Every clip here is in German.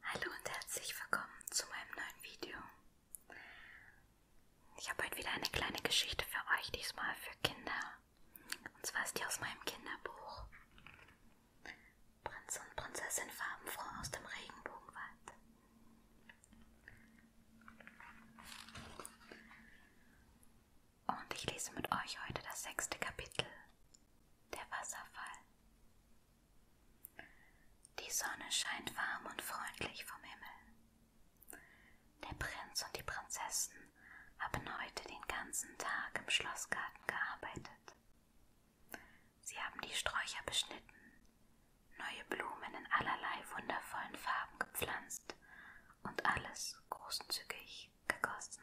Hallo und herzlich willkommen zu meinem neuen Video. Ich habe heute wieder eine kleine Geschichte für euch, diesmal für Kinder. Und zwar ist die aus meinem Kinderbuch. Prinz und Prinzessin Farbenfroh aus dem Regenbogenwald. Und ich lese mit euch heute das sechste Kapitel. Der Wasserfall. Die Sonne scheint warm und freundlich vom Himmel. Der Prinz und die Prinzessin haben heute den ganzen Tag im Schlossgarten gearbeitet. Sie haben die Sträucher beschnitten, neue Blumen in allerlei wundervollen Farben gepflanzt und alles großzügig gegossen.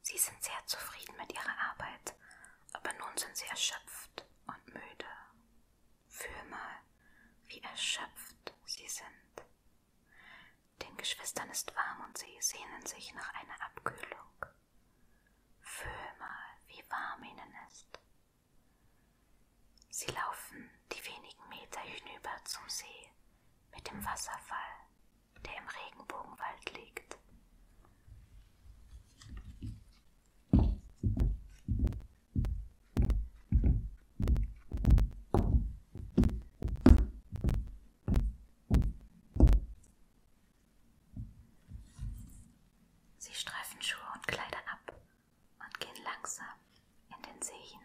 Sie sind sehr zufrieden mit ihrer Arbeit, aber nun sind sie erschöpft und müde. Fühl mal, wie erschöpft sie sind. Den Geschwistern ist warm und sie sehnen sich nach einer Abkühlung. Fühl mal, wie warm ihnen ist. Sie laufen die wenigen Meter hinüber zum See mit dem Wasserfall, der im Regenbogenwald liegt. Sie streifen Schuhe und Kleider ab und gehen langsam in den See hinein.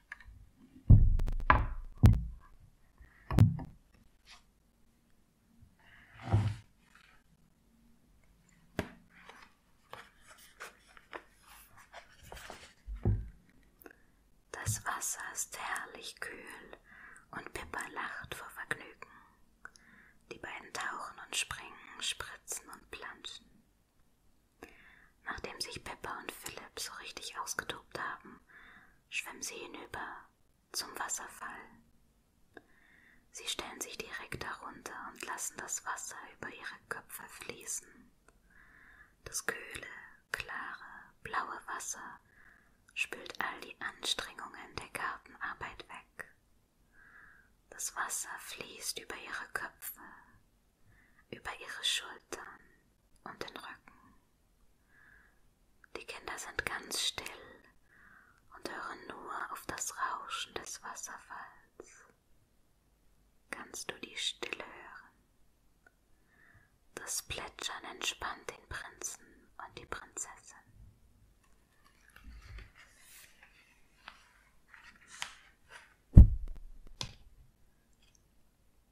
Das Wasser ist herrlich kühl und Pippa lacht vor Vergnügen. Die beiden tauchen und springen, spritzen und planschen. Nachdem sich Pepper und Philipp so richtig ausgetobt haben, schwimmen sie hinüber zum Wasserfall. Sie stellen sich direkt darunter und lassen das Wasser über ihre Köpfe fließen. Das kühle, klare, blaue Wasser spült all die Anstrengungen der Gartenarbeit weg. Das Wasser fließt über ihre Köpfe, über ihre Schultern und den Rücken. Die Kinder sind ganz still und hören nur auf das Rauschen des Wasserfalls. Kannst du die Stille hören? Das Plätschern entspannt den Prinzen und die Prinzessin.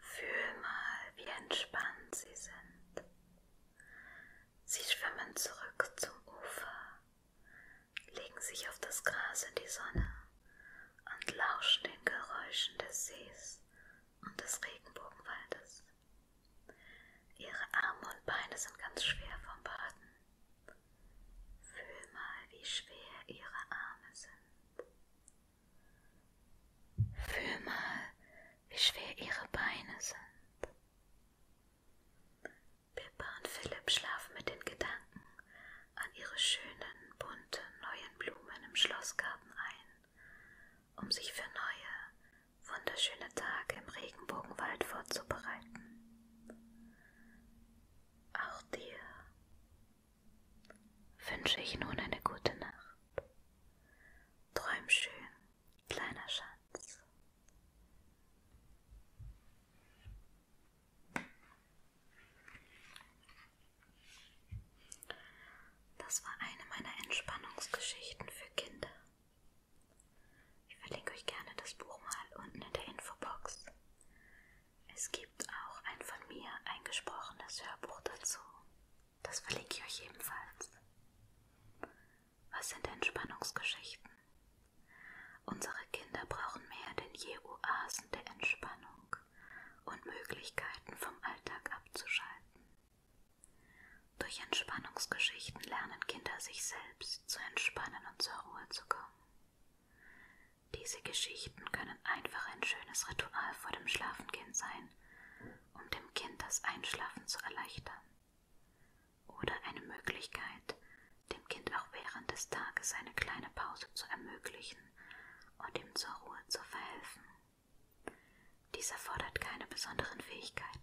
Fühl mal, wie entspannt sie sind. Sie schwimmen zurück zum Ufer, legen sich auf das Gras in die Sonne und lauscht den Geräuschen des Sees und des Regenbogenwaldes. Ihre Arme und Beine sind ganz schwer vom Baden. Fühl mal, wie schwer ihre Arme sind. Fühl mal, wie schwer ihre Beine sind. Pippa und Philipp schlafen mit den Gedanken an ihre schönen, bunten, neuen Blumen im Schlossgarten ein, um sich für neue, wunderschöne Tage im Regenbogenwald vorzubereiten. Auch dir wünsche ich nun eine gute Nacht. Träum schön, kleiner Schatz. Das war eine meiner Entspannungsgeschichten für Kinder. Ich verlinke euch gerne das Buch mal unten in der Infobox. Es gibt auch ein von mir eingesprochenes Hörbuch dazu. Das verlinke ich euch ebenfalls. Was sind Entspannungsgeschichten? Unsere Kinder brauchen mehr denn je Oasen der Entspannung und Möglichkeiten vom Alltag abzuschalten. Durch Entspannungsgeschichten lernen Kinder sich selbst zu entspannen und zur Ruhe zu kommen. Diese Geschichten können einfach ein schönes Ritual vor dem Schlafengehen sein, um dem Kind das Einschlafen zu erleichtern. Oder eine Möglichkeit, dem Kind auch während des Tages eine kleine Pause zu ermöglichen und ihm zur Ruhe zu verhelfen. Dies erfordert keine besonderen Fähigkeiten.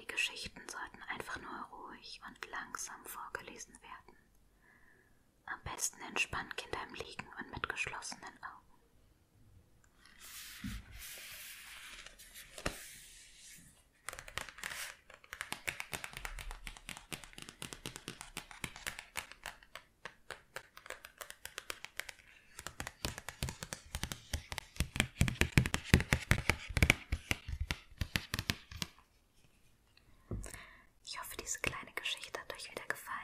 Die Geschichten sollten einfach nur ruhig und langsam vorgelesen werden. Am besten entspannen Kinder im Liegen und mit geschlossenen Augen. Ich hoffe, diese kleine Geschichte hat euch wieder gefallen.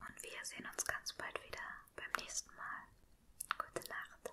Und wir sehen uns ganz bald wieder beim nächsten Mal. Gute Nacht.